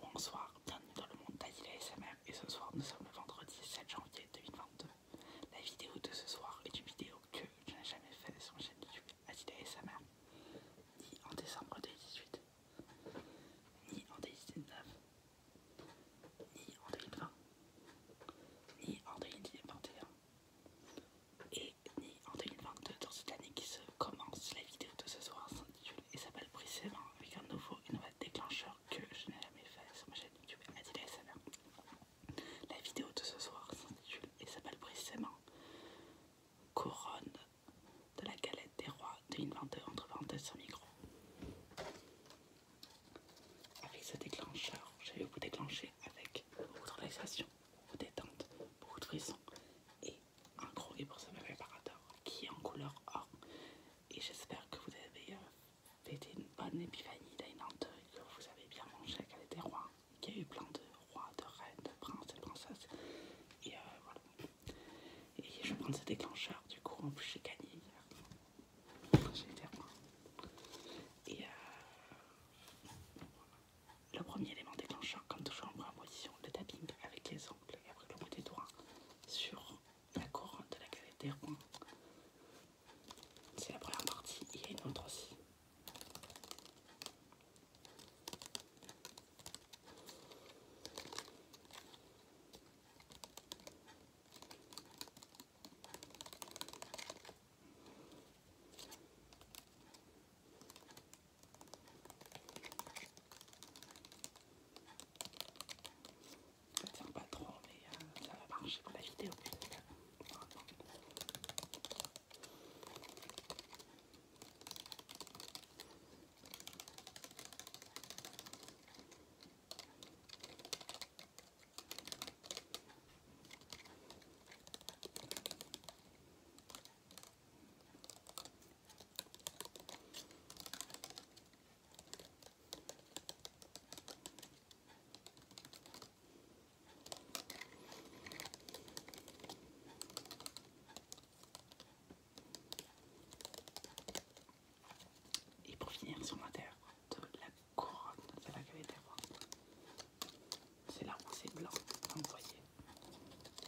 Bonsoir, bienvenue dans le monde d'Adila SMR et ce soir nous sommes le vendredi 7 janvier 2022. La vidéo de ce soir est une vidéo que je n'ai jamais faite sur ma chaîne YouTube sa mère, ni en décembre 2018, ni en 2019, ni en 2020, ni en 2021 et ni en 2022 dans cette année qui se commence. La vidéo de ce soir s'intitule et s'appelle brissement, avec un nouveau et déclencheur que je n'ai jamais fait sur ma chaîne YouTube Adila SMR. La vidéo de ce soir s'intitule et s'appelle brissement Couronne de la galette des rois de 22 entre parenthèses sur micro. Avec ce déclencheur, je vais vous déclencher avec beaucoup de relaxation, beaucoup de détente, beaucoup de frissons et un gros livre sur qui est en couleur or. Et j'espère que vous avez euh, fait une bonne épiphanie d'Ainante, que vous avez bien mangé, qu'elle était roi, qu'il y a eu plein de rois, de reines, de princes et princesses. Et euh, voilà. Et je prends ce déclencheur, du coup, en plus j'ai gagné hier. J'ai été roi. Et euh, le premier élément déclencheur, comme toujours en première position, le tapping avec les ongles et après le bout des doigts sur la couronne de la galette des C'est la première partie, il y a une autre aussi. Ça tient pas trop, mais euh, ça va marcher pour la vidéo. Et pour finir sur la terre de la couronne de la cavité, c'est là où c'est blanc, comme vous voyez.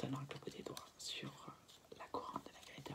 Maintenant, le bout des doigts sur la courante de la de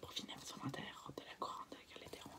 Pour finir, nous sommes en terre de la courante avec les terreaux.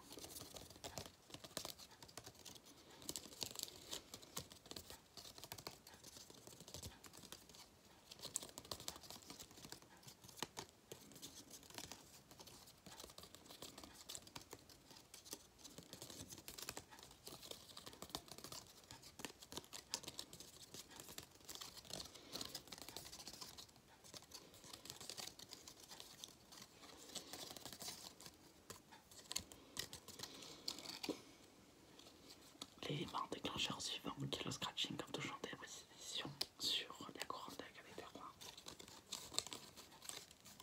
L'élément déclencheur suivant qui est le scratching comme toujours des précisions sur la avec de la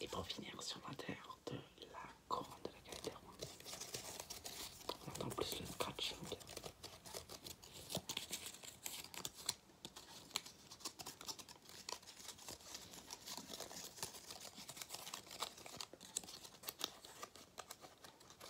Et pour finir sur l'intérieur de la couronne de la galère. on entend plus le scratching.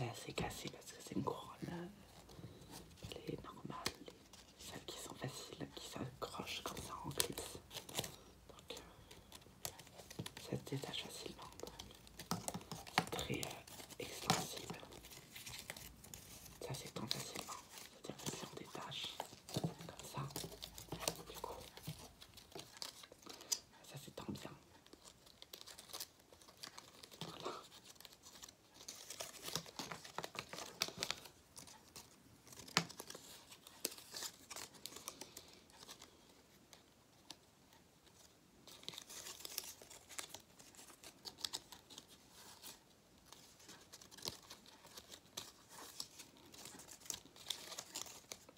Là, c'est cassé parce que c'est une couronne. Euh, les normales, normale, celles qui sont faciles, qui s'accrochent comme ça en clips. Donc, euh, ça se détache facilement. C'est très euh, extensible. Ça s'étend facilement. C'est-à-dire que si on détache comme ça, du coup, ça s'étend bien.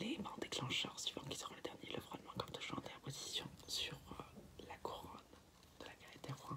Les L'élément déclencheurs suivant qui seront le dernier, le frôlement comme toujours en position sur euh, la couronne de la galerie des rois.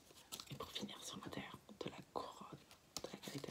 Et pour finir, sur ma terre, de la couronne de la qualité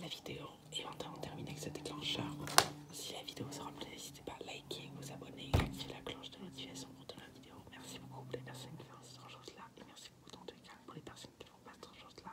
La vidéo train de terminer avec ce déclencheur. Si la vidéo vous a plu, n'hésitez pas à liker, vous abonner et activer la cloche de notification pour de la vidéo. Merci beaucoup pour les personnes qui font ce genre choses là et merci beaucoup dans tous les cas pour les personnes qui ne font pas ce genre choses là